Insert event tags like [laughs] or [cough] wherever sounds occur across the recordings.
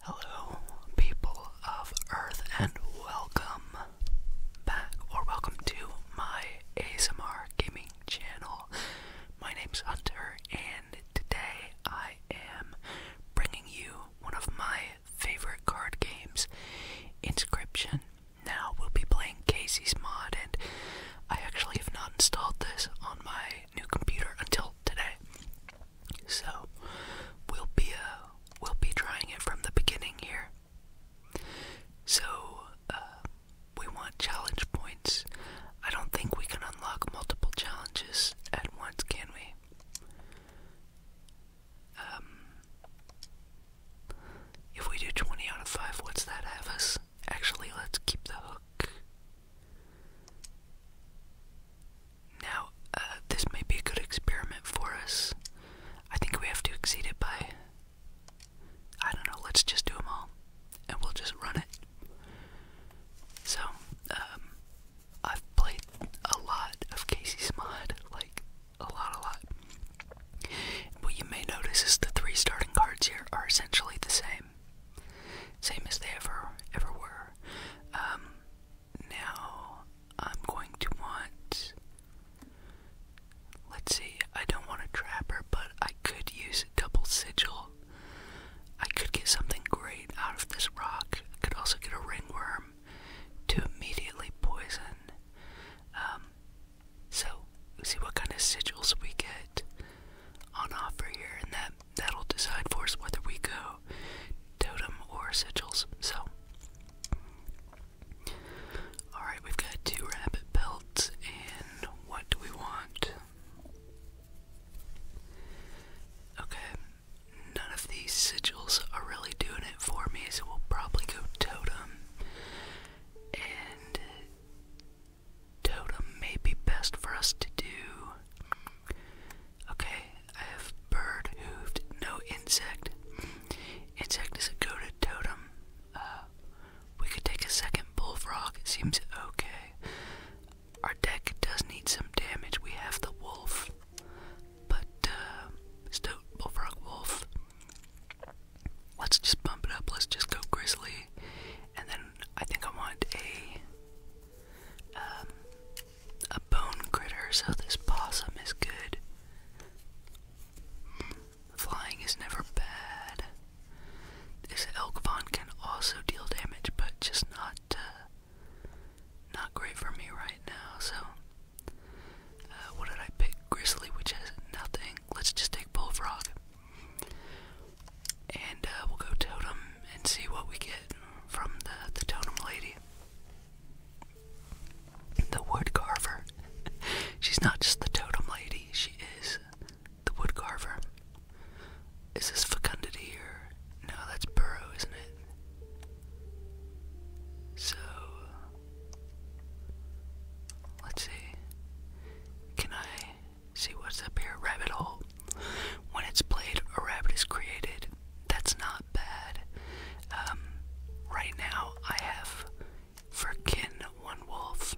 Hello, people of Earth, and welcome back, or welcome to my ASMR gaming channel. My name's Hunter, and today I am bringing you one of my favorite card games, Inscription. Now we'll be playing Casey's mod, and I actually have not installed this on my new computer until today. So we'll be uh, we'll be trying it from the beginning here. So uh, we want challenge points. I don't think we can unlock multiple challenges at once, can we? Um, if we do 20 out of 5, what's that have us? Actually, let's keep the hook. Now, uh, this may be a good experiment for us. I think we have to exceed it by. I don't know, let's just do them all. And we'll just run it. So, um, I've played a lot of Casey's Mod. Like, a lot, a lot. What you may notice is the three starting cards here are essentially the same. Same as they ever, ever were. Um, now I'm going to want. Let's see, I don't want a trapper, but I could use a double sigil. I could get something great out of this rock. I could also get a ringworm to immediately poison. Um, so, see what kind of sigils we get on offer here, in that that'll decide for us whether we go totem or sigils. So, alright, we've got two rabbit belts, and what do we want? Okay, none of these sigils are really doing it for me, so we'll probably go totem. And totem may be best for us to do Okay, I have bird hooved, no insect. Insect is a goaded totem. Uh, we could take a second bullfrog, it seems okay. Our deck does need some damage. We have the wolf, but uh, bullfrog, wolf. Let's just bump it up. Let's just go grizzly, and then I think I want a um, a bone critter, so this possum is good. Flying is never bad. This elk pond can also deal damage, but just not uh, not great for me right now. So, uh, what did I pick? Grizzly, which has nothing. Let's just take bullfrog, and uh, we'll go totem and see what we get from the, totem lady. The wood [laughs] She's not just the totem lady, she is the wood carver. Is this fecundity here? no, that's burrow, isn't it? So let's see. Can I see what's up here? Rabbit hole. When it's played, a rabbit is created. That's not bad. Um, right now, I have for one wolf.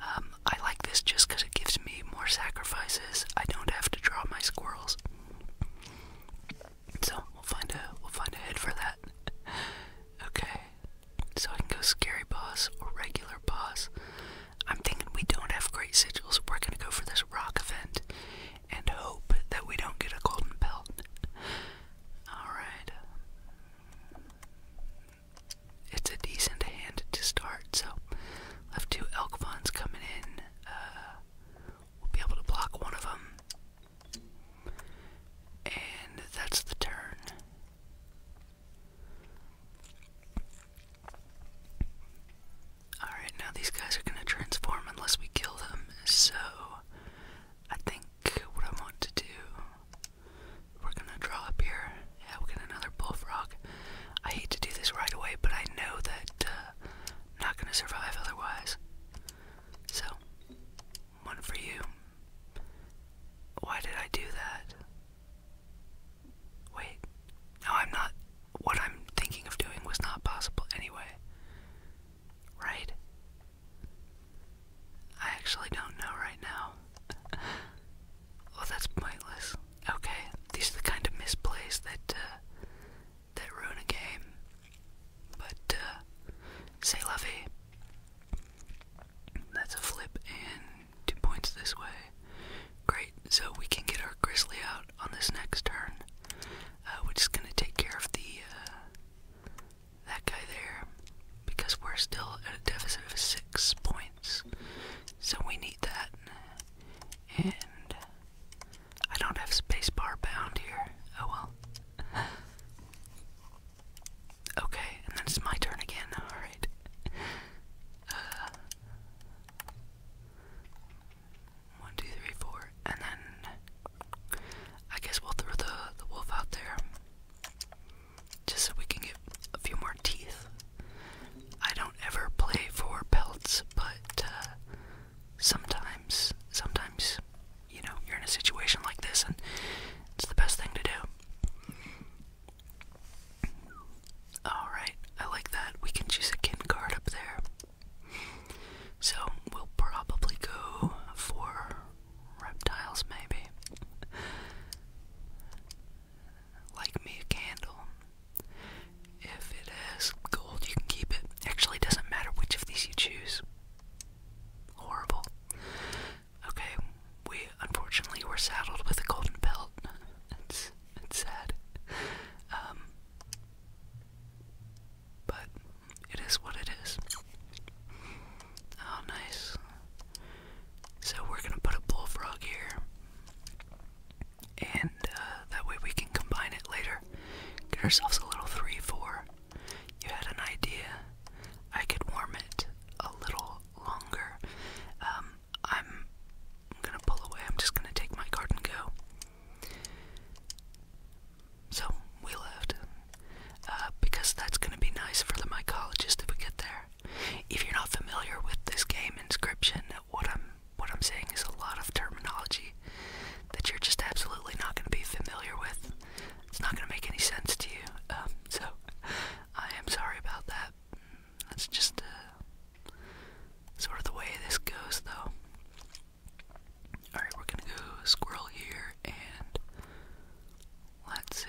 Um, I like this just because it gives me more sacrifices. I don't have to draw my squirrels. So we'll find a we'll find a head for that. [laughs] okay. So I can go scary boss or regular boss. I'm thinking we don't have great sigils. We're going to go for this rock event and hope that we don't get a golden belt. Alright. It's a decent hand to start, so left two elk funds coming in. Uh, we'll be able to block one of them. And that's the turn. Alright, now these guys are gonna transform unless we kill them, so I think what I want to do we're gonna draw up here. Yeah, we get another bullfrog. I hate to do this right away, but I know that I'm uh, not gonna survive otherwise. So, one for you. Why did I do that? Wait, no, I'm not. What I'm thinking of doing was not possible anyway. Right? I actually don't know right now. [laughs] well, that's pointless. Okay, these are the kind of misplays that uh, that ruin a game. But uh, say lovey. That's a flip and two points this way. Great, so we can get our grizzly out on this next turn. Uh, we're just gonna take care of the uh, that guy there because we're still at a deficit of six points, so we need that. And I don't have spacebar bound here. Oh well. [laughs] Okay, and then it's my turn again. All right. Uh, one, two, three, four, and then I guess we'll throw the the wolf out there just so we can get a few more teeth. I don't ever play for pelts, but uh, sometimes, sometimes, you know, you're in a situation like this, and it's the best thing to do. Alright, I like that. We can choose a kin card up there. So we'll probably go for reptiles, maybe. like me, a candle. If it has gold, you can keep it. Actually, it doesn't matter which of these you choose. Horrible. Okay, we unfortunately were saddled with a golden belt. It's it's sad. Um, but it is what it is. Oh, nice. So we're gonna put a bullfrog here, and uh, that way we can combine it later. Get ourselves a little 3 4. You had an idea. I could warm it a little longer. Um, I'm gonna pull away. I'm just gonna take my card go. So we left uh, because that's going to be nice for the mycologist if we get there. If you're not familiar with this game inscription, what I'm what I'm saying is a lot of terminology that you're just absolutely not going to be familiar with. It's not going to make any sense to you. Um, so I am sorry about that. That's just uh, sort of the way this goes, though. Alright, we're gonna go squirrel here, and let's see.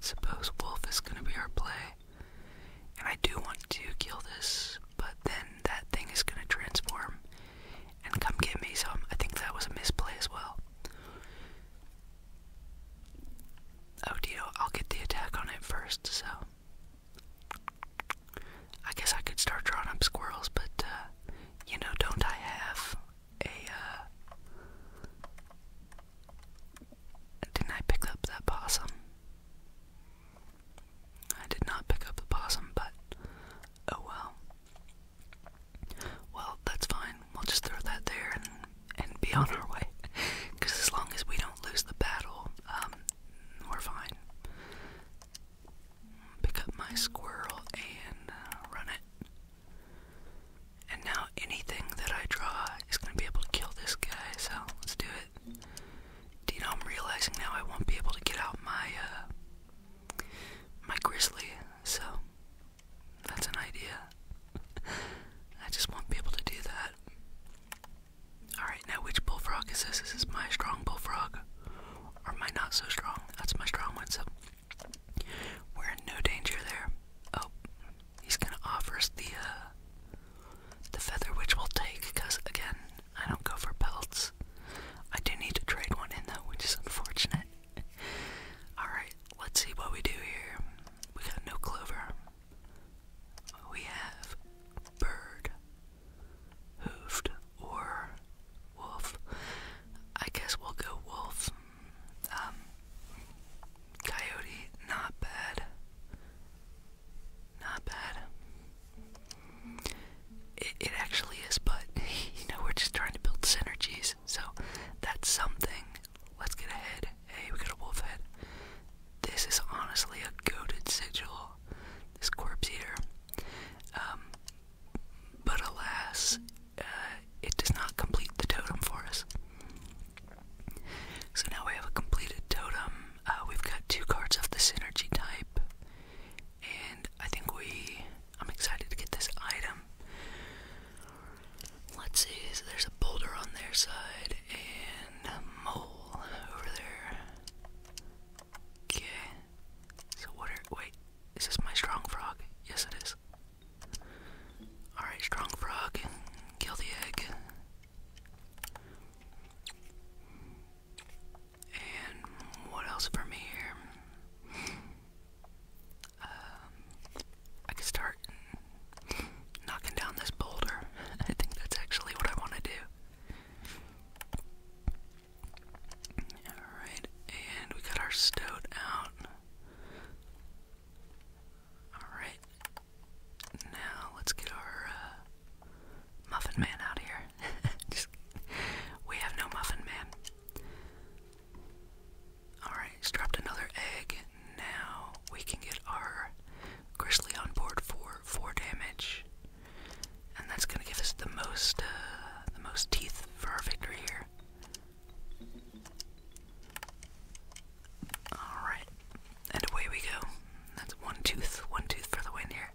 Suppose wolf is gonna be our play. And I do want to kill this, but then that thing is gonna transform and come get me, Some I think that was a misplay as well. Oh, dear, I'll get the attack on it first, so I guess I could start drawing up squirrels, but uh, you know, don't I have a? Uh... Didn't I pick up that possum? I did not pick up the possum, but oh well. Well, that's fine. We'll just throw that there and and be on our way. Because [laughs] as long as we don't lose the battle, um, we're fine. Pick up my squirrel and uh, run it. And now anything that I draw is going to be able to kill this guy, so let's do it. Do you know, I'm realizing now I won't be able to get out my, uh, my grizzly, so that's an idea. [laughs] I just won't be able to do that. Alright, now which bullfrog is this? This Is my strong bullfrog? Or am I not so strong? That's my strong one, so we're in no danger there. Oh, he's gonna offer us the, uh, the feather, which we'll take, because again, I don't go for belts. I do need to trade one in though, which is unfortunate. Alright, let's see what we do here. We got no clover. We have bird, hoofed or wolf. I guess we'll go wolf. Um, coyote, not bad. Not bad. It, it actually is, but [laughs] you know, we're just trying to build synergies, so that's something. Let's get a head. Hey, we got a wolf head. This is honestly a goaded sigil this corpse eater. Um, but alas, uh, it does not complete the totem for us. So now we have a completed totem. Uh, we've got two cards of the synergy type, and I think we. I'm excited to get this item. Let's see, so there's a boulder on their side and a mole over there. Okay. So what are wait, is this my strong frog? Yes it is. Alright, strong frog, kill the egg. And what else from here? Um, I can start knocking down this boulder. [laughs] I think that's actually what I want to do. Alright, and we got our stout out. Alright, now let's get our uh, Muffin Man out here. [laughs] we have no Muffin Man. Alright, he's dropped another egg. Now we can get our Grizzly on board for four damage, and that's gonna give us the most uh, the most teeth for our victory here. All right, and away we go. That's one tooth, one tooth for the win here.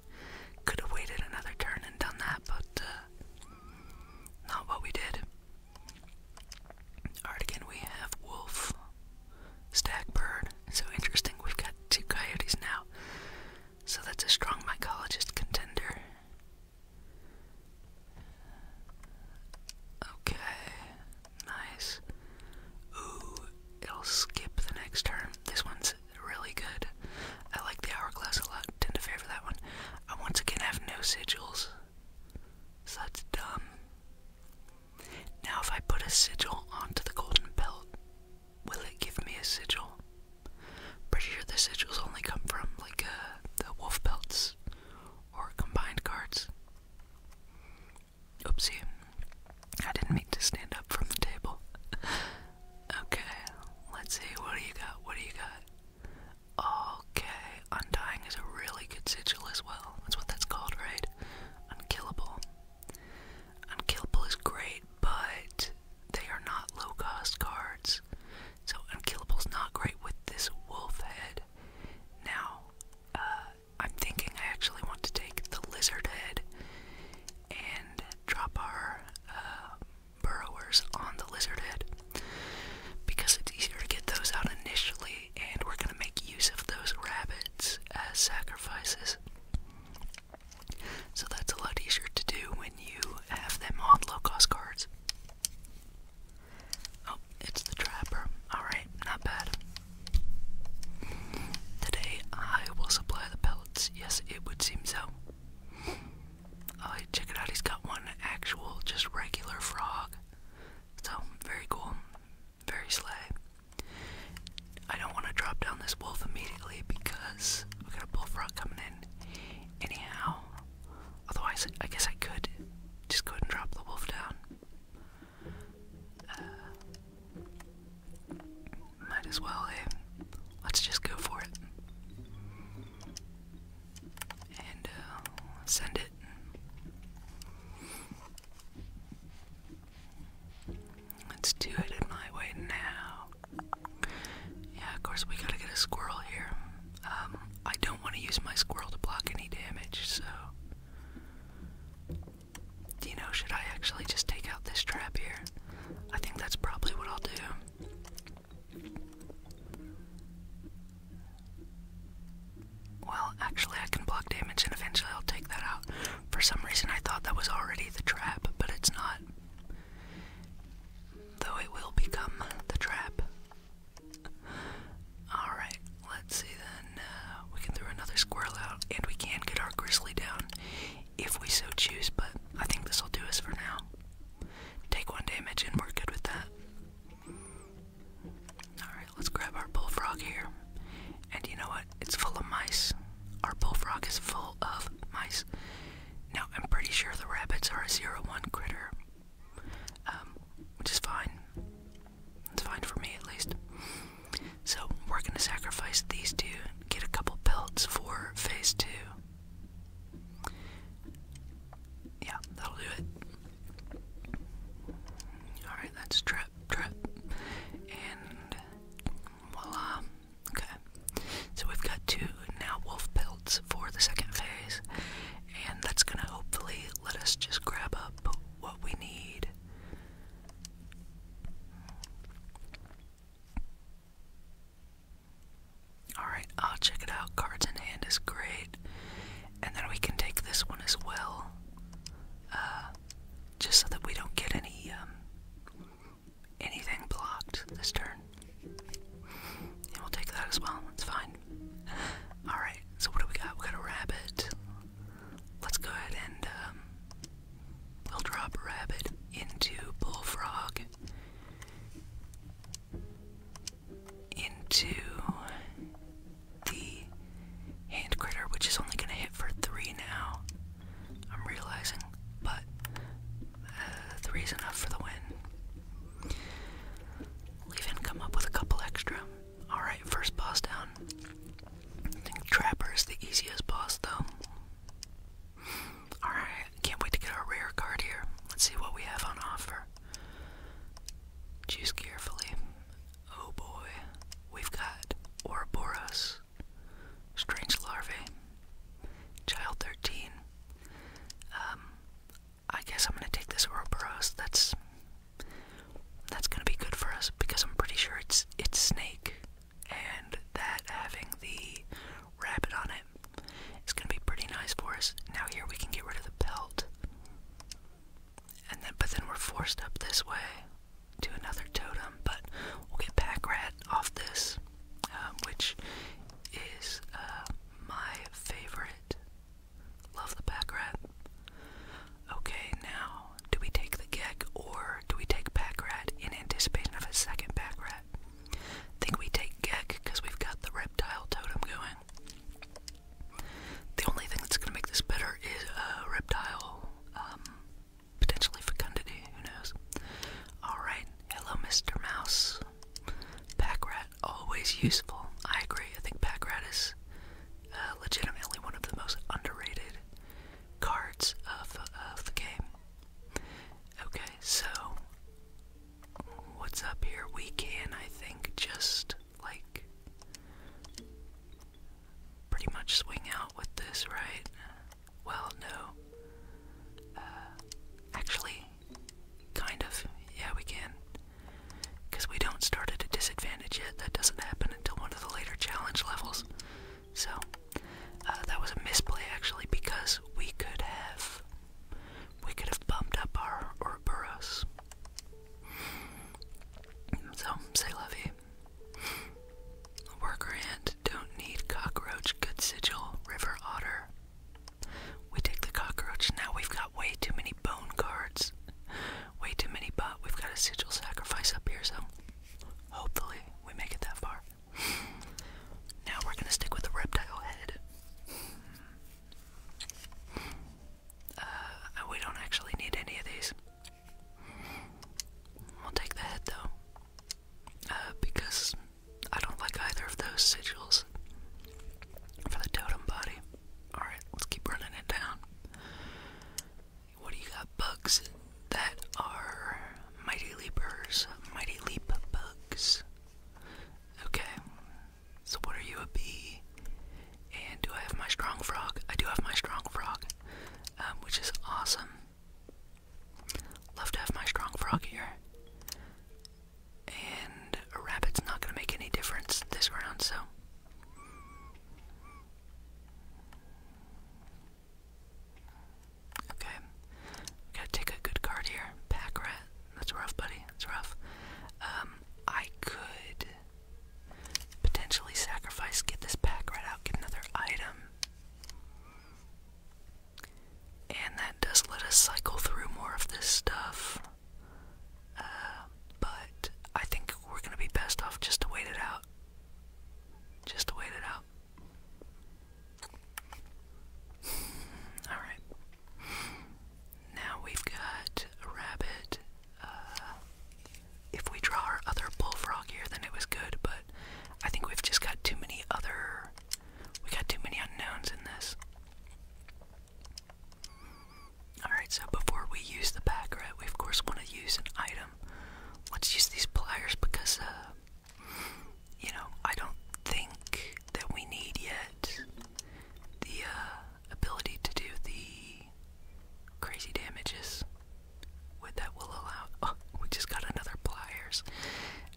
Could have waited another turn and done that, but uh, not what we did. All right, we have Wolf. Stack bird. So interesting, we've got two coyotes now. So that's a strong mycologist contender. Okay, nice. Ooh, it'll skip the next turn. This one's really good. I like the hourglass a lot, tend to favor that one. I once again have no sigils, so that's dumb. Now, if I put a sigil onto the golden belt, will it give me a sigil? Pretty sure the sigils only come from like uh, the wolf belts or combined cards. Oopsie, I didn't mean to stand up from the table. [laughs] okay, let's see. What do you got? What do you got? Okay, undying is a really good sigil as well. That's what that's called, right? Unkillable. Unkillable is great, but they are not low cost cards. So is not great with this wolf head. Now, uh, I'm thinking I actually want to take the lizard head and drop our uh, burrowers on the lizard head because it's easier to get those out initially, and we're gonna make use of those rabbits as sacrifices. So that's a lot easier to do when you have them on low cost cards. Oh, it's the trapper. Alright, not bad. Today I will supply the pellets. Yes, it would seem so. Oh, check it out. He's got one actual, just regular frog. So, very cool. Very slay. I don't want to drop down this wolf immediately because we got a bullfrog coming in. Anyhow, otherwise, I guess I could just go ahead and drop the wolf down. Uh, might as well, eh? Let's just go for it. And uh, send it. Let's do it in my way now. Yeah, of course, we gotta get a squirrel here. Um, I don't want to use my squirrel to block any damage, so. You know, should I actually just take out this trap here? I think that's probably what I'll do. Well, actually, I can block damage and eventually I'll take that out. For some reason, I thought that was already the trap, but it's not. Though it will become the trap. Alright, let's see then. Uh, we can throw another squirrel out, and we can get our grizzly down if we so choose, but I think this will do us for now. Take one damage, and we're good with that. Alright, let's grab our bullfrog here. And you know what? It's full of mice. Our bullfrog is full of mice. Now, I'm pretty sure the rabbits are a zero one critter, um, which is fine. It's fine for me at least. So, we're gonna sacrifice these two, get a couple pelts for phase two. Yeah, that'll do it. Alright, that's trap, trap. And Voila. Okay. So we've got two now wolf belts for the second phase, and that's gonna hopefully let us just grab up what we need. Alright, I'll check it out. Cards in hand is great. And then we can take this one as well. Uh, just so that we don't get any um, anything blocked this turn. And we'll take that as well. It's fine. All right. So what do we got? We got a rabbit. Let's go ahead and um, we'll drop rabbit into bullfrog into the hand critter, which is only going to hit for three now. I'm realizing, but uh, three is enough for the win. We'll even come up with a couple extra. Alright, first boss down. think Trapper is the easiest boss, though. Alright, can't wait to get our rare card here. Let's see what we have on offer. Choose carefully. Oh boy, we've got Ouroboros, strange larvae, child 13. Um, I guess I'm gonna take this Ouroboros. That's that's gonna be good for us because I'm pretty sure it's it's snake, and that having the rabbit on it is gonna be pretty nice for us. Now here we can get rid of the pelt, and then but then we're forced up this way to another totem, but we'll get rat off this, um, which is uh, my favorite. Love the Packrat. Okay, now, do we take the Gek or do we take rat in anticipation of a second Packrat? I think we take Gek because we've got the reptile totem going. The only thing that's going to make this better is a uh, reptile um, potentially fecundity, who knows? Alright, hello Mr. Mouse. Packrat, always useful. I agree, I think Packrat is uh, legitimately one of the most underrated cards of, uh, of the game. Okay, so what's up here? We can, I think, just like pretty much swing out with this, right? Well, no. Uh, actually, kind of. Yeah, we can. Because we don't start at a disadvantage yet. That doesn't happen until one of the later challenge levels. So, uh, that was a misplay actually, because we could have. We could have bumped up our or Ouroboros. So, say la Worker ant don't need cockroach, good sigil, river otter. We take the cockroach. Now we've got way too many bone cards. Way too many but we've got a sigil sacrifice up here, so hopefully we make it that far. Now we're gonna stick with the reptile head. Uh, we don't actually need any of these. We'll take the head though, uh, because I don't like either of those sigils for the totem body. Alright, let's keep running it down. What do you got? Bugs that are mighty leapers, mighty leap bugs. Okay, so what are you a bee? And do I have my strong frog? I do have my strong frog, um, which is awesome. Love to have my strong frog here. And a rabbit's not going to make any difference this round, so. Okay. gotta take a good card here. Pack rat. That's rough, buddy. That's rough. Um, I could potentially sacrifice, get this pack rat out, get another item. And that does let us cycle through more of this stuff. Uh, but I think we're gonna be best off just to wait it out. Just to wait it out. Alright. Now we've got a rabbit, uh, if we draw our other bullfrog here, then it was good, but I think we've just got too many other. We got too many unknowns in this. Alright, so before we use the pack right, we of course want to use an item. Let's use these pliers because, uh, you know, I don't think that we need yet the uh, ability to do the crazy damages. With that will allow oh, we just got another pliers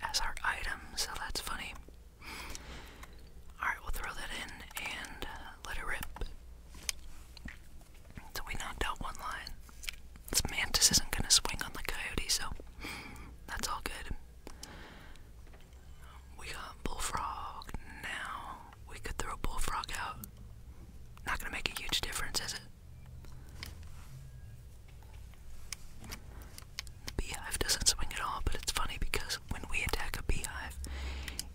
as our item, so that's funny. Alright, we'll throw that in and uh, let it rip. So we knocked out one line. This mantis isn't gonna swing on the coyote, so that's all good. We got bullfrog now. We could throw bullfrog out. Not gonna make a huge difference, is it? The beehive doesn't swing at all, but it's funny because when we attack a beehive,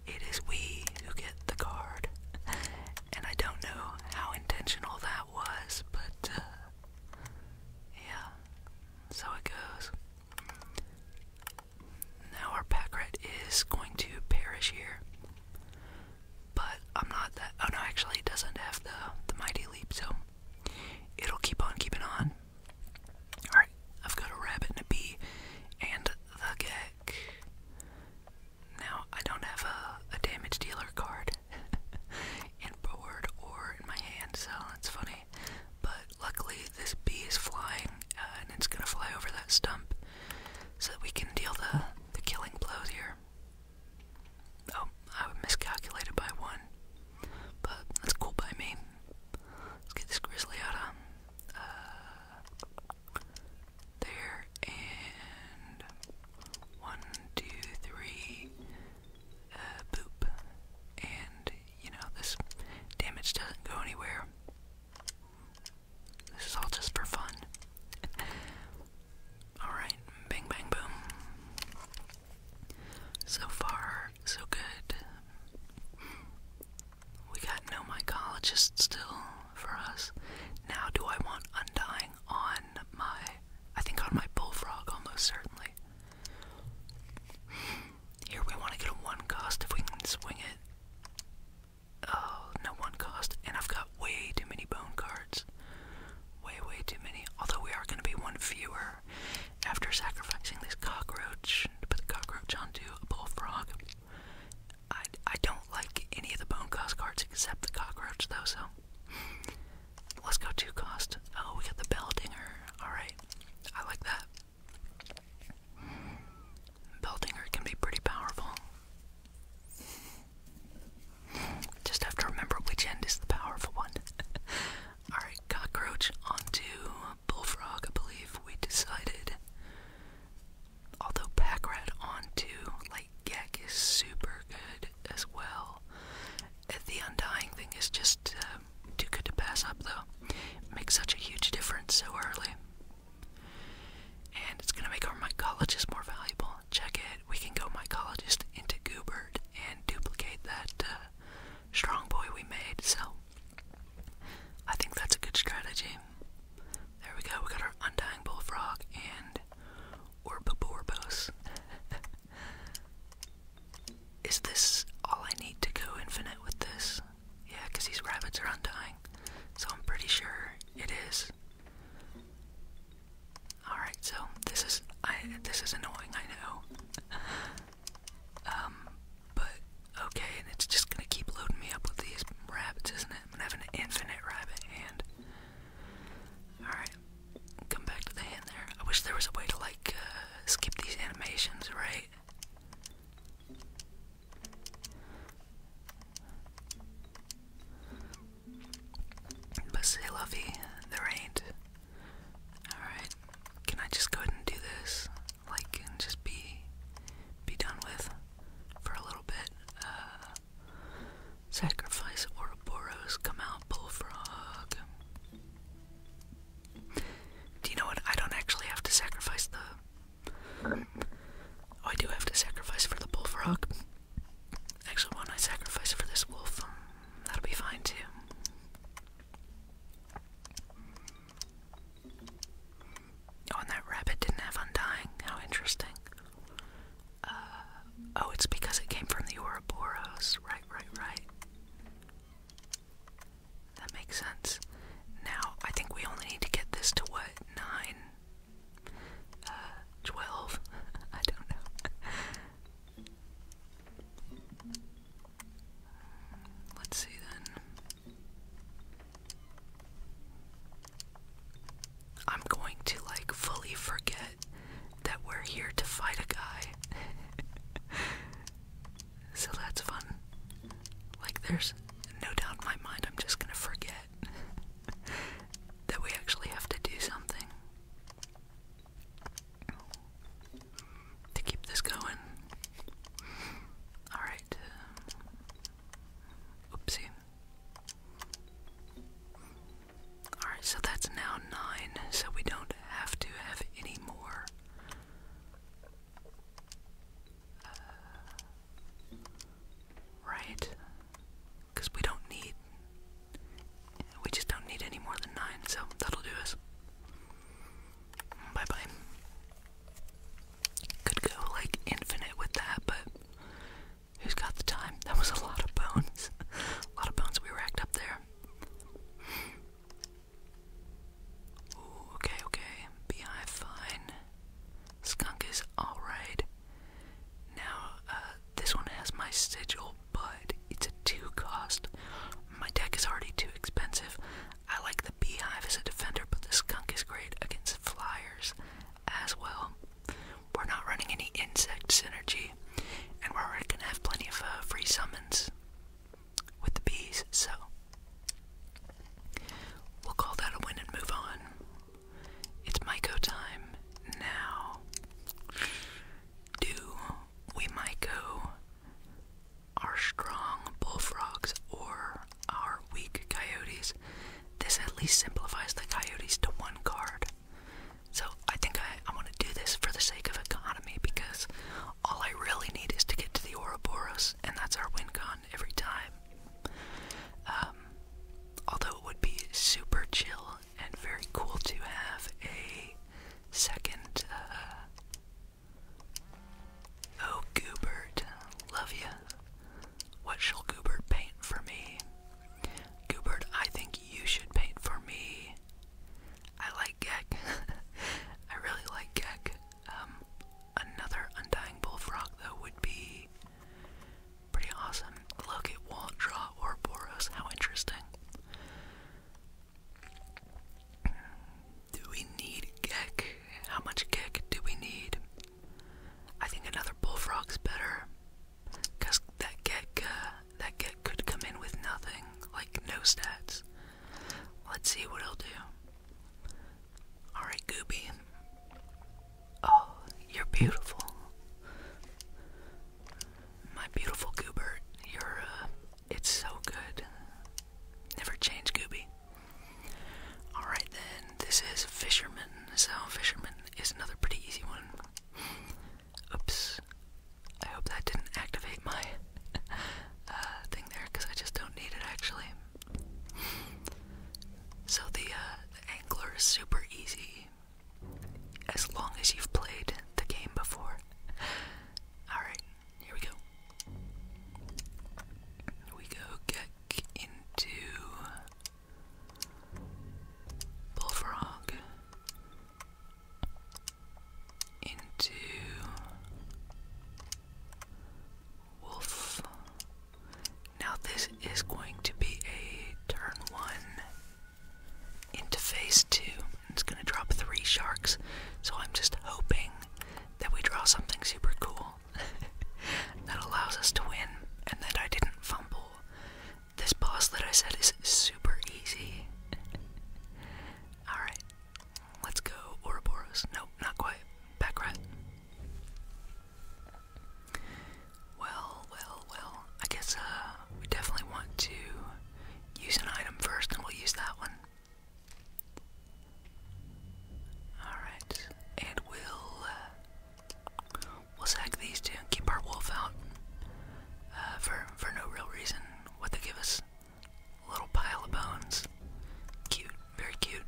it is we who get the card. And I don't know how intentional that was, but uh, yeah, so it goes. Now our pack rat is going to perish here. But I'm not that. Oh no, actually, it doesn't have the the mighty leap, so it'll keep on keeping on. All right, I've got a rabbit and a bee, and the gek. Now I don't have a a damage dealer card in [laughs] board or in my hand, so that's funny. But luckily, this bee is flying, uh, and it's gonna fly over that stump, so that we can deal the the killing blows here. Oh, I miscalculated by one. But that's cool by me. Let's get this grizzly out of uh, there and one, two, three, uh, boop. And you know, this damage doesn't go anywhere. This is all just for fun. Alright, bang bang boom. So far, so good. We got no mycologist still for us. Now do I want undying on my I think on my bullfrog almost certainly. Here we want to get a one cost if we can swing it uh, no one cost, and I've got way too many bone cards. Way, way too many. Although we are going to be one fewer after sacrificing this cockroach to put the cockroach onto a bullfrog. I, I don't like any of the bone cost cards except the cockroach, though, so. Let's go two cost. Oh, we got the bell dinger. Alright. I like that. Bell dinger can be pretty powerful. Just have to remember which end is the powerful one. [laughs] Alright, cockroach onto bullfrog, I believe we decided. Although pack onto like is super good as well. Uh, the undying thing is just uh, too good to pass up though. makes such a huge difference so early. And it's going to make our mycologist more valuable. Check it. We can go mycologist into Goobert and duplicate that uh, strong boy we made. So I think that's a good strategy. There we go. We got our undying bullfrog and Orbiborbos. [laughs] Is this all I need to go infinite with this? Yeah, because these rabbits are undying. So I'm pretty sure it is. All right, so this is this is annoying, I know. um, but okay, and it's just gonna keep loading me up with these rabbits, isn't it? I'm going an infinite rabbit hand. All right, come back to the hand there. I wish there was a way to like uh, skip these animations, right? But say lovey, there ain't. Alright, can I just go ahead and do this? Like, just be, be done with for a little bit. Uh, sacrifice Ouroboros, come out, bullfrog. Do you know what? I don't actually have to sacrifice the. Oh, I do have to sacrifice for the bullfrog. Actually, why I sacrifice for this wolf? Um, that'll be fine too. Oh, that rabbit didn't have undying. How interesting. Uh, oh, it's because it came from the Ouroboros. Right, right, right. That makes sense. Now, I think we only need to get this to what? Nine? 12? Uh, [laughs] I don't know. Uh, let's see then. I'm going to like fully forget that we're here to fight a guy. [laughs] so that's fun. Like, there's no doubt in my mind I'm just gonna forget. [laughs] that we actually have to do something to keep this going. Alright. Oopsie. Alright, so that's now nine, so we don't have to have any more. Uh, right? because we don't need, we just don't need any more than nine, so that'll do us. Bye bye. Could go like infinite with that, but who's got the time? That was a lot of bones. [laughs] a lot of bones we racked up there. okay, okay. Beehive, fine. Skunk is alright. Now, uh, this one has my sigil, but it's a two cost. My deck is already too expensive. I like the beehive as a defender, but the skunk is great against flyers as well. We're not running any insect synergy, and we're already gonna have plenty of uh, free summons with the bees, so we'll call that a win and move on. It's Myco time now. Do we Myco our strong bullfrogs or our weak coyotes? This at least simplifies the coyotes to one card. So I think I, I want to do this for the sake of economy because all I really need is to get to the Ouroboros, and that's our win con every time. Um, um, although it would be super chill and very cool to have a second, uh, oh Goobert, love you! What shall Goobert paint for me? Goobert, I think you should paint for me. I like Gek. [laughs] I really like Gek. Um, another Undying Bullfrog, though, would be Pretty awesome. Look, it won't draw Ouroboros. How interesting. Do we need Gek? How much Gek do we need? I think another Bullfrog's better. Because that Gek, uh, that Gek could come in with nothing. Like, no stats. Let's see what he'll do. Alright, Gooby. Oh, you're beautiful. My beautiful Goobert, you're, uh, it's so good. Never change, Gooby. Alright then, this is Fisherman. So, Fisherman is another pretty easy one. Oops. I hope that didn't activate my [laughs] uh, thing there because I just don't need it actually. So, the uh, Angler is super easy as long as you've played the game before. Alright, here we go. We go get into Bullfrog, into Wolf. Now this is going to be a turn one into phase two. It's going to drop three sharks, so I'm just hoping that we draw something super cool [laughs] that allows us to win and that I didn't fumble. This boss that I said is super easy. [laughs] Alright, let's go Ouroboros. Nope, not quite. Backrat. Well, well, well. I guess uh, we definitely want to use an item first, and we'll use that one. Alright, and we'll, uh, we'll sack these two and keep our wolf out uh, for, for no real reason. What they give us? A little pile of bones. Cute, very cute.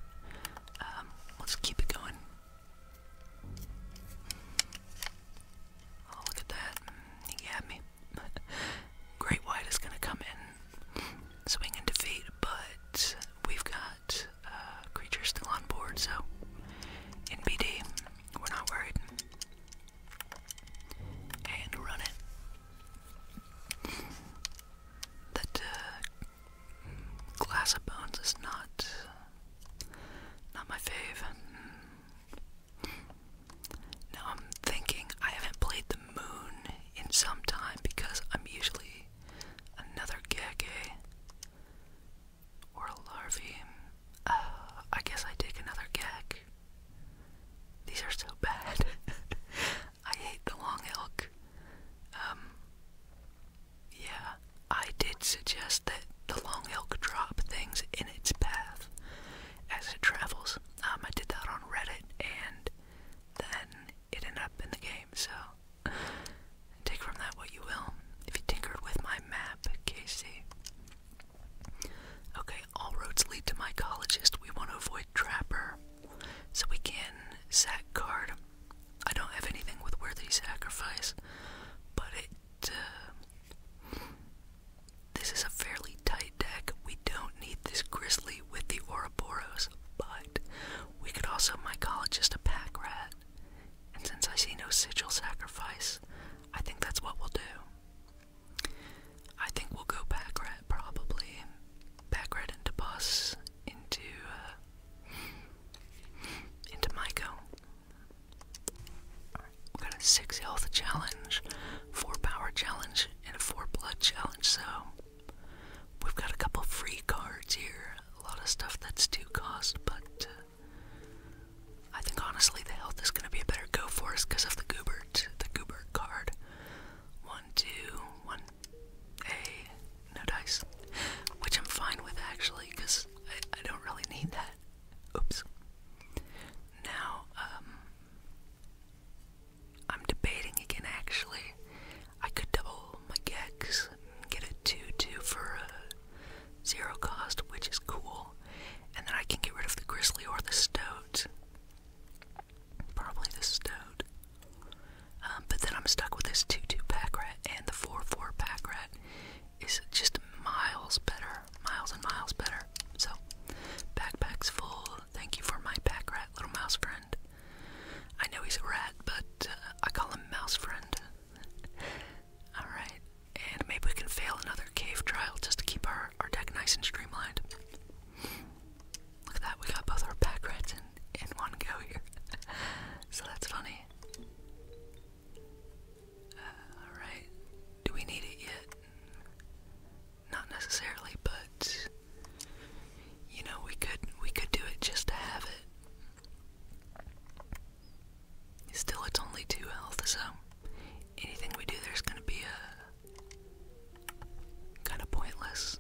Um, let's keep it going. Oh, look at that. Mm, he got me. [laughs] Great White is going to come in, swing and defeat, but we've got uh, creatures still on board, so in BD we're not worried. And run it. That uh, Glass of Bones is not not my fave. Now I'm thinking I haven't played the moon in some time because I'm usually another Gege or a larvae. Uh, I guess I take another gag. These are so bad. [laughs] I hate the long elk. Um, yeah, I did suggest that the long elk drop things in its path as it travels. Um, I did that on Reddit, and then it ended up in the game, so take from that what you will. If you tinkered with my map, Casey. Okay, all roads lead to mycologist. We want to avoid Trapper, so we can sack guard. I don't have anything with worthy sacrifice, but it. Uh, this is a fairly tight deck. We don't need this Grizzly with the Ouroboros, but we could also just a pack rat. And since I see no sigil sacrifice, I think that's what we'll do. I think we'll go pack rat probably. Pack rat into boss, into uh into Myco we got a 6 health challenge, 4 power challenge, and a 4 blood challenge, so we've got a couple free cards here. A lot of stuff that's due cost, but uh, I think honestly the health is going to be a better go for us because of the Goobert, the Goobert card. One, two, one. Hey, no dice, which I'm fine with actually, because I, don't really need that. Oops. Now, um, I'm debating again actually. I could double my Gex and get a 2 2 for a zero cost, which is cool. And then I can get rid of the Grizzly or the Stoat. Probably the Stoat. Um, but then I'm stuck with this 2 2 pack rat and the 4 4 pack rat is just miles better, miles and miles better. So, backpack's full. Thank you for my pack rat, little mouse friend. I know he's a rat, but uh, I call him mouse friend. [laughs] Alright, and maybe we can fail another cave trial just to keep our, our deck nice and streamlined. Look at that, we got both our pack rats in, in one go here. [laughs] so that's funny. Uh, Alright. Do we need it yet? Not necessarily, but you know we could we could do it just to have it. Still it's only two health, so anything we do there's gonna be a uh, kinda pointless.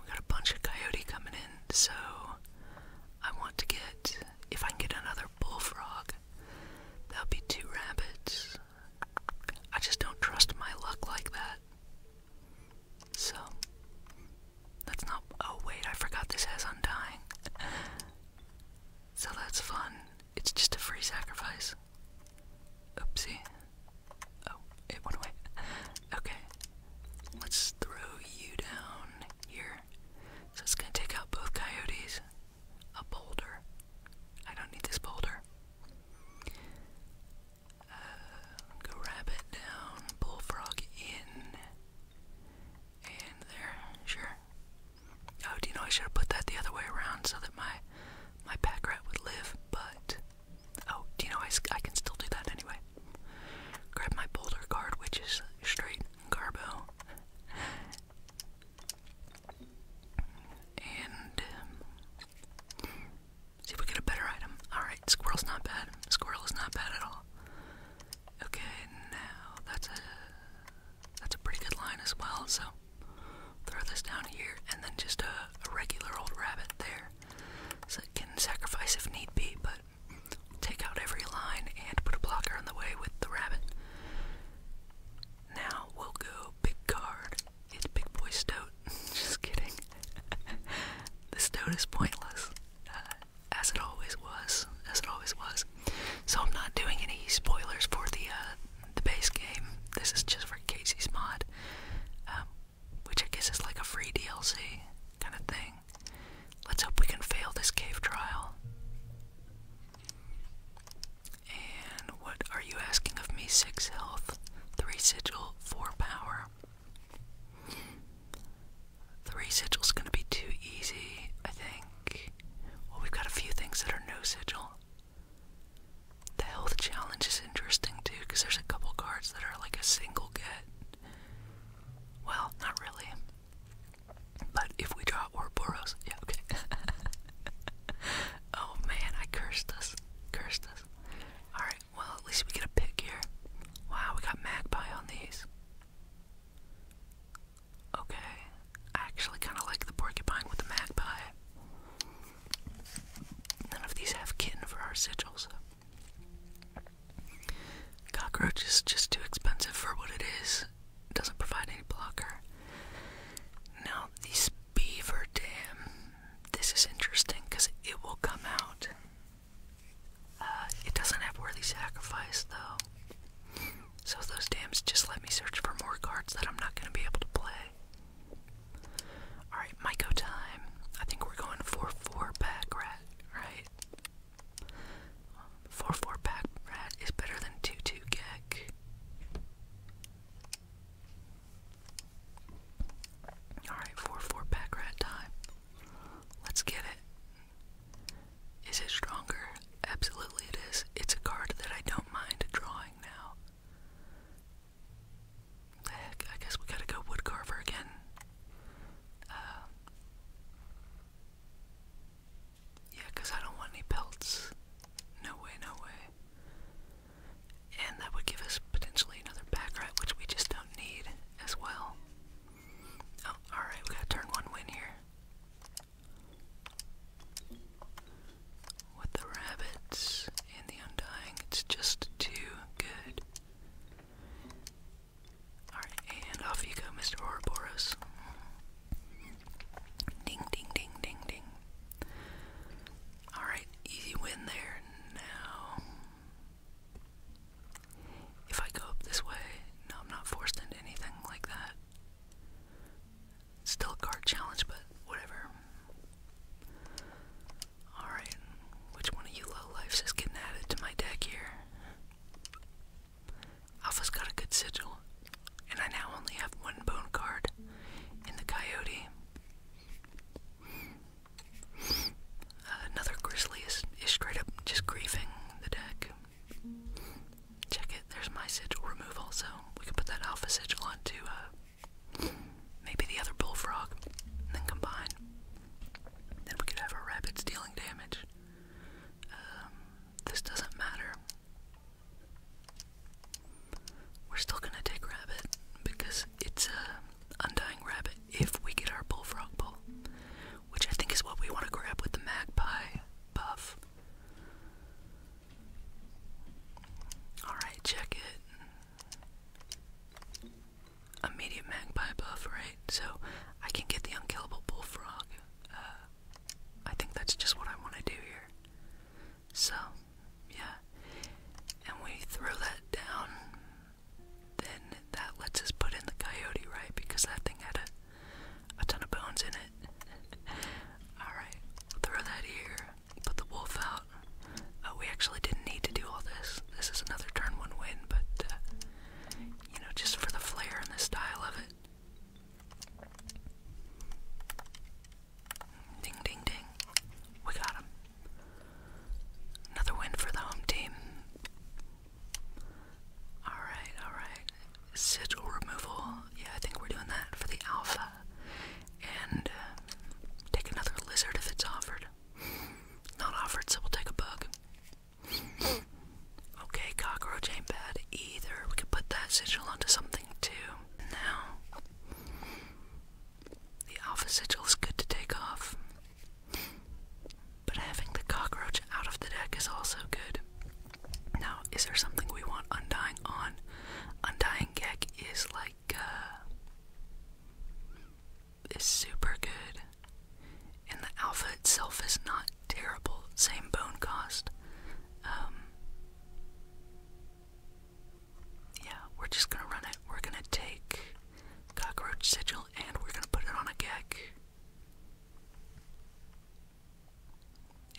We got a bunch of coyote coming in, so I want to get, if I can get another bullfrog, that'll be two rabbits. I just don't trust my luck like that. So, that's not, oh wait, I forgot this has undying. [laughs] So that's fun. It's just a free sacrifice. Oopsie. Oh, it went away. [laughs] Okay. Let's throw you down here. So it's gonna take out both coyotes. A boulder. I don't need this boulder. Uh, go rabbit down, bullfrog in, and there. Sure. Oh, do you know I should have put that the other way around so that my my pack rat would live? But oh, do you know I, I can still do that anyway. Grab my boulder card, which is straight Garbo. And um, see if we get a better item. Alright, squirrel's not bad. Squirrel's not bad at all. Okay, now that's a that's a pretty good line as well, so throw this down here and then just a, a regular old rabbit there. So it can sacrifice if need be, but take out every line and put a blocker on the way with the rabbit. Now we'll go big card. It's big boy stoat. [laughs] Just kidding. [laughs] the stoat is pointless, uh, as it always was. As it always was. So I'm not doing any spoilers for the uh, the base game. This is just for Casey's mod. Um, which I guess is like a free DLC kind of thing. Let's hope we can fail this cave trial. And what are you asking of me? Six health, three sigil, four power. Three sigil's gonna be too easy, I think. Well, we've got a few things that are no sigil. The health challenge is interesting too, because there's a couple cards that are like a single get. Well, not really. But if we draw Ouroboros, yeah, okay. [laughs] oh man, I cursed us. Cursed us. Alright, well, at least we get a pick here. Wow, we got Magpie on these. Okay, I actually kind of like the porcupine with the magpie. None of these have kitten for our sigils. Cockroach is just too expensive for what it is. It doesn't provide any blocker. Now, this beaver dam, this is interesting because it will come out. Uh, it doesn't have worthy sacrifice, though. So, those dams just let me search for more cards that I'm not going to be able to play. Alright, my Myco time. I think we're going for 4 back, Right? Four four pack rat is better than two two gag. Alright, four four pack rat time. Let's get it. Is it stronger? Absolutely it is. It's a card that I don't mind drawing now. I guess we gotta go woodcarver again. Uh, I don't want any pelts. No way, no way. And that would give us potentially another back which we just don't need as well. Oh, alright, we gotta turn one win here. With the rabbits and the undying, it's just too good. Alright, and off you go, Mr. Ouroboros. Ding, ding, ding, ding, ding. Alright, easy win there. Now, if I go up this way, no, I'm not forced into anything like that. It's still a card challenge, but whatever. Alright, which one of you low lifes is getting added to my deck here? Alpha's got a good sigil, and I now only have one bone card And the coyote. Uh, another grizzly is, straight up just griefing the deck. Check it, there's my sigil removal. So We can put that alpha sigil onto uh, maybe the other bullfrog, and then combine. Then we could have a rabbit stealing damage. Um, this doesn't matter. We're still gonna take rabbit because it's a undying rabbit if we get our bullfrog bull, which I think is what we want to grab with the magpie buff. Alright, check it immediate magpie buff, right? So I can get the unkillable bullfrog. Uh, I think that's just what I want to do here. So, yeah. And we throw that down. Then that lets us put in the coyote, right? Because that thing had a, a ton of bones in it. [laughs] Alright, throw that here. Put the wolf out. Oh, we actually didn't need to do all this this is another turn one win, but uh, you know, just for the flair and the style of it. Ding, ding, ding. We got him. Another win for the home team. Alright, alright. Sigil removal. Yeah, I think we're doing that for the alpha. And uh, take another lizard if it's offered offered. Not offered, so we'll take a bug. Okay, cockroach ain't bad either. We could put that sigil onto something too. Now, the alpha sigil is good to take off, but having the cockroach out of the deck is also good. Now, is there something we want undying on? Undying Gek is like, uh, is super good, and the alpha itself is not terrible. Same bone cost. Um, yeah, we're just gonna run it. We're gonna take cockroach sigil and we're gonna put it on a gek.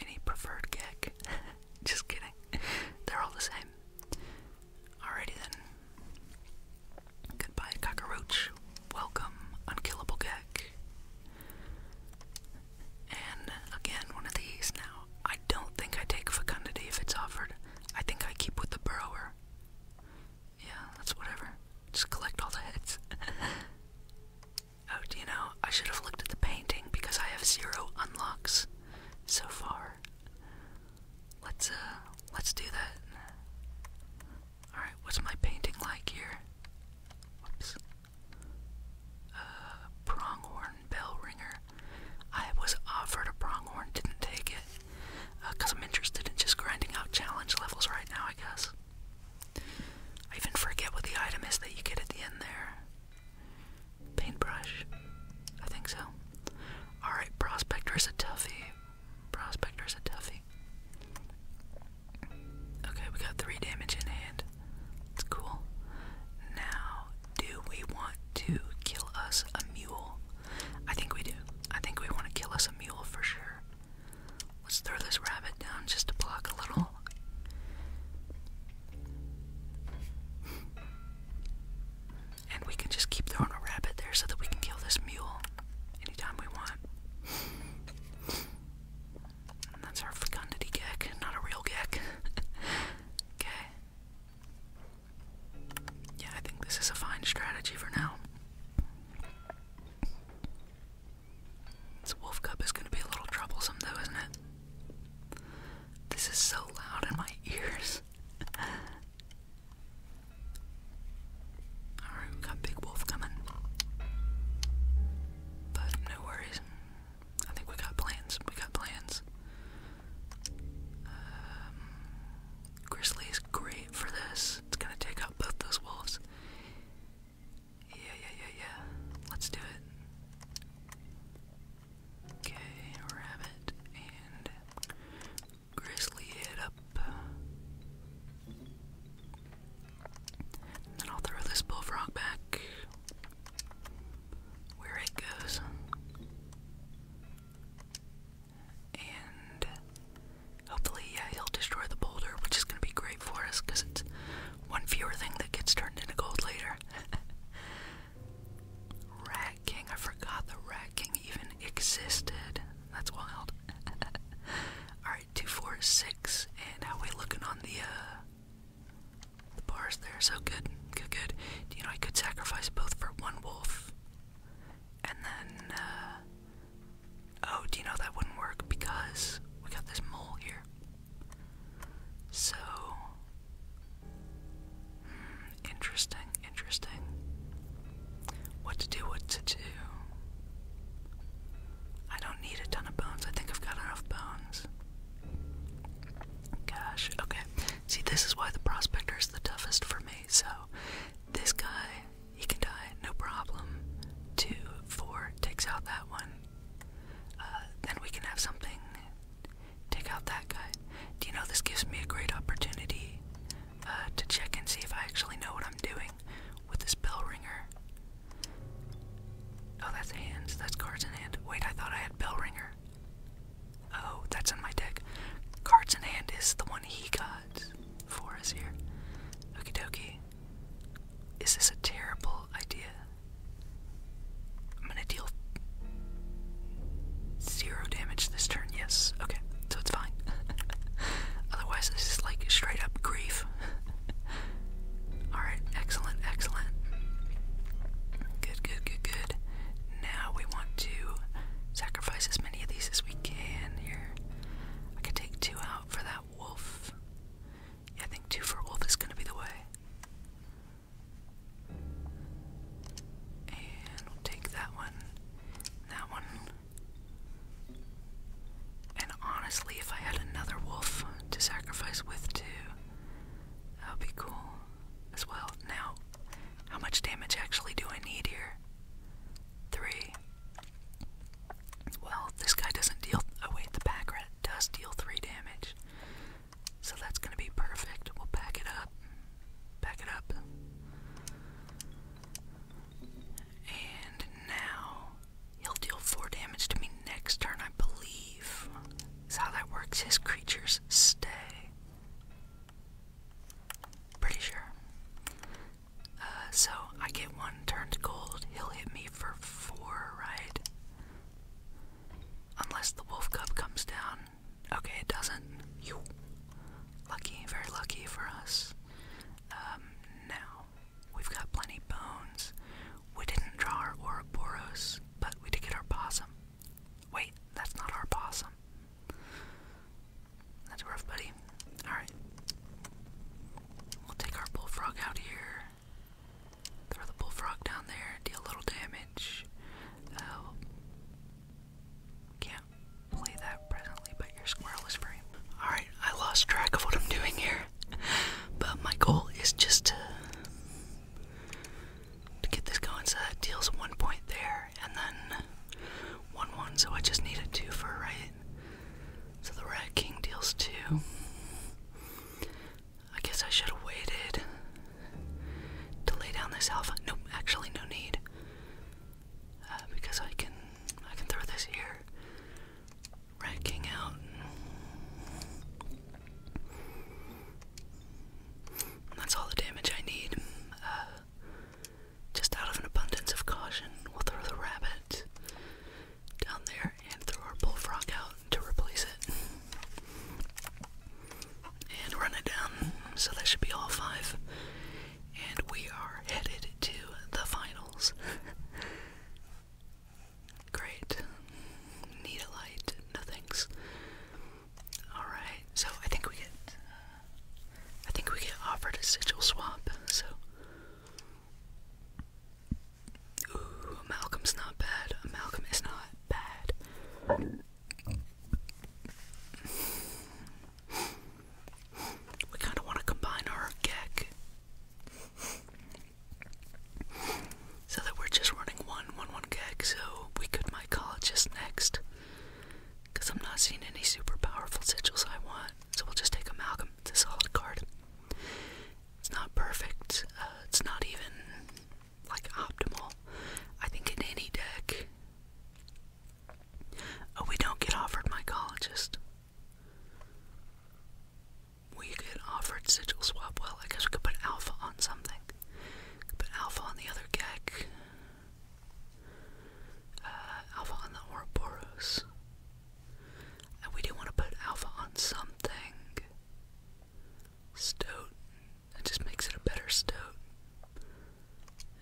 Any preferred gek? [laughs] just kidding. They're all the same. Alrighty then. Goodbye, cockroach. Welcome, unkillable gek. And again, one of these now. I don't think I take fecundity if it's offered. I think I keep with the burrower. Yeah, that's whatever. Just collect all the heads. [laughs] oh, do you know? I should have looked at the painting because I have zero unlocks so far. Let's uh let's do that. Alright, what's my painting like here? Whoops. Uh pronghorn bell ringer. I was offered a pronghorn, didn't take it. Because uh, I'm interested in just grinding out challenge levels right now, I guess. I even forget what the item is that you get at the end there. Paintbrush. I think so. Alright, Prospector a toughie. Prospector's a toughie. Okay, we got three damage in hand. It's cool. Now, do we want to kill us a mule? I think we do. I think we want to kill us a mule for sure. Let's throw this rabbit down just to block a little. And we can just keep throwing a rabbit there so that we can kill this mule anytime we want. that's our fecundity gek, not a real gek. [laughs] okay. Yeah, I think this is a fine strategy for now. This wolf cub is going to be a little troublesome, though, isn't it? This is so loud in my [laughs] ears. Alright, we got Big Wolf coming. But no worries. I think we got plans. We got plans. Um, Grizzly is great for this. It's gonna take out both those wolves. Yeah, yeah, yeah, yeah. Let's do it. Okay, rabbit and Grizzly it up. then I'll throw this bullfrog back where it goes. And hopefully, yeah, he'll destroy the boulder, which is going to be great for us because it's one fewer thing that gets turned into gold later. [laughs] Rag. King. I forgot the Rat King even existed. That's wild. [laughs] Alright, 246. And how we looking on the uh, the bars there? So good, good, good. You know I could sacrifice both for one wolf. And then uh, Oh, do you know that wouldn't work because we got this mole here. So hmm interesting, interesting. What to do, what to do. I don't need a ton of bones. I think I've got enough bones. Gosh, okay. See, this is why the prospector is the toughest for me. So, this guy, he can die, no problem. Two, four, takes out that one. Uh, then we can have something take out that guy. Do you know this gives me a great opportunity uh, to check and see if I actually know what I'm doing with this bell ringer. Oh, that's hands. That's cards in hand. Wait, I thought I had bell ringer. Oh, that's in my deck. Cards in hand is the one he got for us here. Okie dokie. Is this a terrible idea? I'm gonna deal zero damage this turn, yes. Okay so it's fine. [laughs] Otherwise, this is like straight up grief. [laughs] Alright, excellent, excellent. Good, good, good, good. Now we want to sacrifice as many of these as we can here. I could take two out for that wolf. I think two for wolf is gonna be the way. And we'll take that one, that one, and honestly, if I had another wolf to sacrifice with too, that would be cool as well. Now, how much damage actually do I need here? Three. Well, this guy doesn't deal. Oh, wait, the pack rat does deal three damage. So that's gonna be perfect. We'll pack it up. Pack it up. And now he'll deal 4 damage to me next turn, I believe. Is how that works. His creatures stay. Pretty sure. Uh, so I get one turn to gold. He'll hit me for 4, right? Unless the wolf cub comes down. Okay, it doesn't. You. Lucky, very lucky for us. Um, now, we've got plenty bones. We didn't draw our Ouroboros, but we did get our possum. Wait, that's not our possum. That's rough, buddy. Alright. We'll take our bullfrog out here. Throw the bullfrog down there, deal a little damage. Uh, oh. can play that presently, but your squirrel is free. Alright, I lost track of what I'm doing here. [laughs] But my goal is just to, get this going so that deals one point there and then one one, so I just need a two for a right. So the rat king deals two. I guess I should have waited to lay down this alpha. Nope, actually no need. Uh, because I can I can throw this here, racking out. That's all the damage I need. Uh, just out of an abundance of caution, we'll throw the rabbit down there and throw our bullfrog out to replace it. And run it down. So that should be all five and we are headed to the finals. Great. Need a light? No thanks. Alright, so I think we get uh, I think we get offered a sigil swap, so Ooh, Malcolm's not bad. Malcolm is not bad. We kind of want to combine our gek so that we're just running one, one, one gek. So we could just next, because I'm not seeing any super powerful sigils I want. So we'll just take amalgam. It's a solid card. It's not perfect. Uh, it's not even like optimal. I think in any deck, Oh, we don't get offered mycologist. We get offered sigil swap. Well, I guess we could put alpha on something. put alpha on the other gek. Uh, alpha on the Ouroboros. And we do want to put alpha on something. Stoat. That just makes it a better stoat.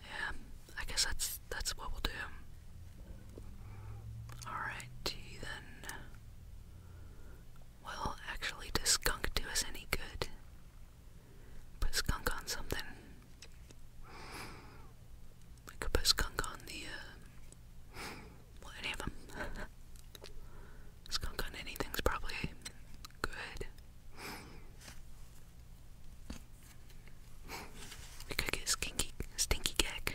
Yeah, I guess that's that's what we'll do. Alrighty then. Well, actually, does skunk do us any good? Put skunk on something. I could put skunk on the, uh, well, any of them. [laughs] skunk on anything's probably good we could get stinky, stinky gag.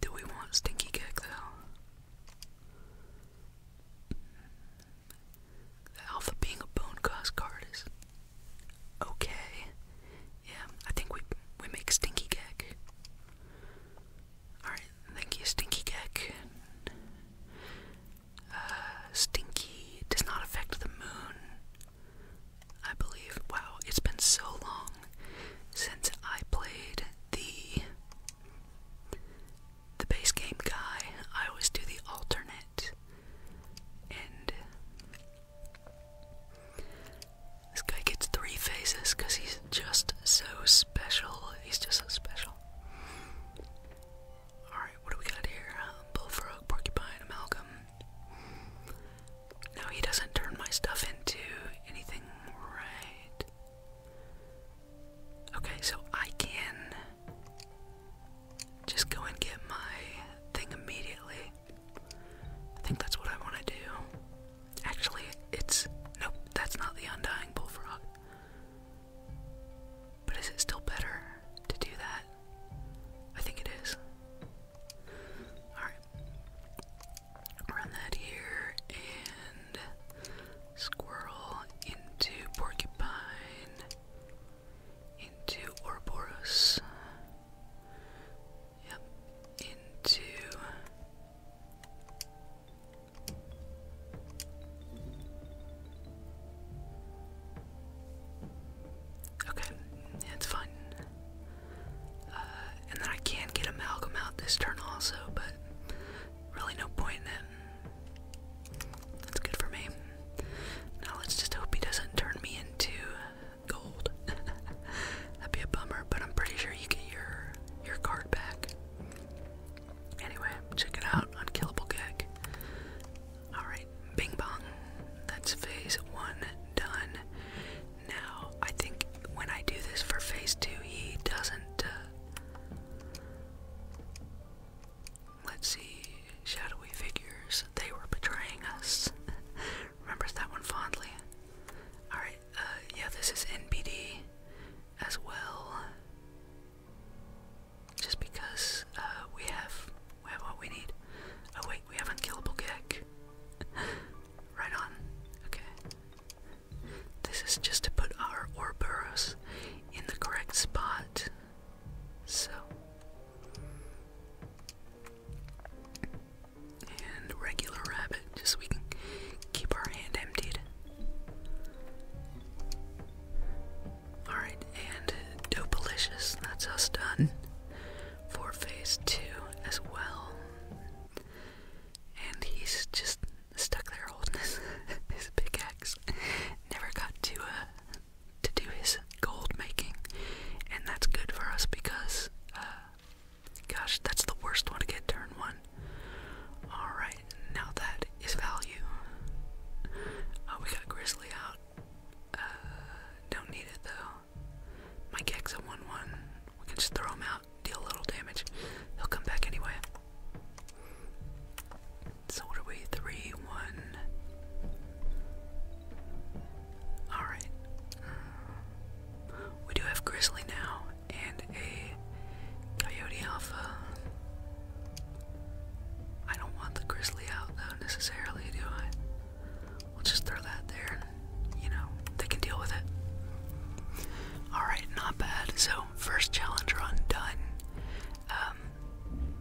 Do we want stinky gag though? The alpha being a bone cost card is okay. Yeah, I think we we make stinky gag. Alright, thank you, Stinky Gek. Uh, stinky does not affect the moon. I believe. Wow, it's been so long since I played the the base game guy. I always do the alternate, and this guy gets three phases because he's just so special. He's just so special. Alright, what do we got here? Uh, bullfrog, porcupine, amalgam. No, he doesn't turn my stuff into anything, right? Okay, so I can just go and get my thing immediately. I think that's what I want to do. Actually, it's. Nope, that's not the undying bullfrog. But is it still better to do that? I think it is. Alright. Run that here and squirrel into porcupine into Ouroboros. Yep. Into Okay, it's fine. Uh, and then I can get Amalgam out this turn also, but really no point in it. That's good for me. Now let's just hope he doesn't turn me into gold. [laughs] That'd be a bummer, but I'm pretty sure you get your your card back. Anyway, check it out, on Killable Gag. Alright, bing bong. That's phase one done. Now, I think when I do this for phase two, he doesn't. Uh, let's see, shadowy figures. They were betraying us. [laughs] Remembers that one fondly. Alright, uh, yeah, this is NBD as well. Just because uh, we have we have what we need. Oh wait, we have unkillable kick. [laughs] right on. Okay. This is just to put our Orboros in the correct spot. So. And regular rabbit, just so we can keep our hand emptied. Alright, and Dopalicious, that's us done for phase two as well. And he's just stuck there holding his, [laughs] his pickaxe. Never got to uh, to do his gold making, and that's good for us because uh gosh, that's the worst one to get turn one. Alright now that is value. Oh, we got Grizzly out. Uh, don't need it though. My Gek's a 1 1. We can just throw him out, deal a little damage. He'll come back anyway. So, what are we? 3 1. Alright. We do have Grizzly now and a Coyote Alpha. I don't want the grizzly out though necessarily, do I? We'll just throw that there and, you know, they can deal with it. Alright, not bad. So, first challenge run done. Um,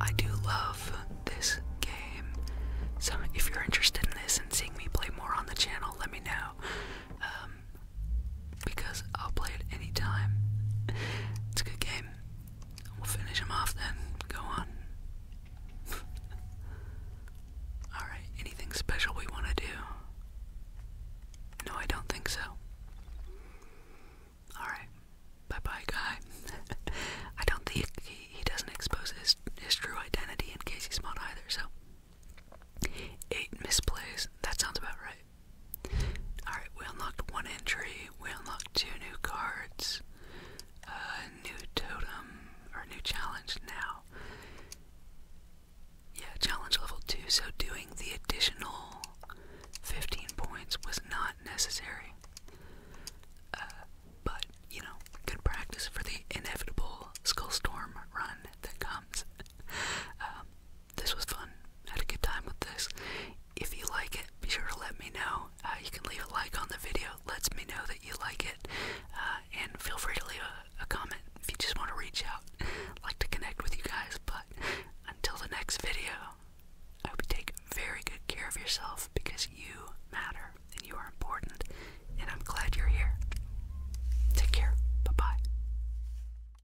I do love this game. So, if you're interested in this and seeing me play more on the channel, let me know. Um, because I'll play it any time. It's a good game. We'll finish him off then. Go on. [laughs] Alright, anything special we want to do? No, I don't think so. Alright. Bye bye, guy. [laughs] I don't think he, doesn't expose his, his true identity in Casey Smart either, so. Eight misplays. That sounds about right. Alright, we unlocked one entry, we unlocked two new cards, a new totem, or new challenge now. Yeah, challenge level 2, so doing the additional 15 points was not necessary. Uh, but, you know, good practice for the inevitable Skullstorm run that comes. [laughs] Um, this was fun. I had a good time with this. If you like it, be sure to let me know. Uh, you can leave a like on the video. It lets me know that you like it. Uh, and feel free to leave a, a comment if you just want to reach out. [laughs] like to connect with you guys. But until the next video, I hope you take very good care of yourself because you matter and you are important. And I'm glad you're here. Take care. Bye bye.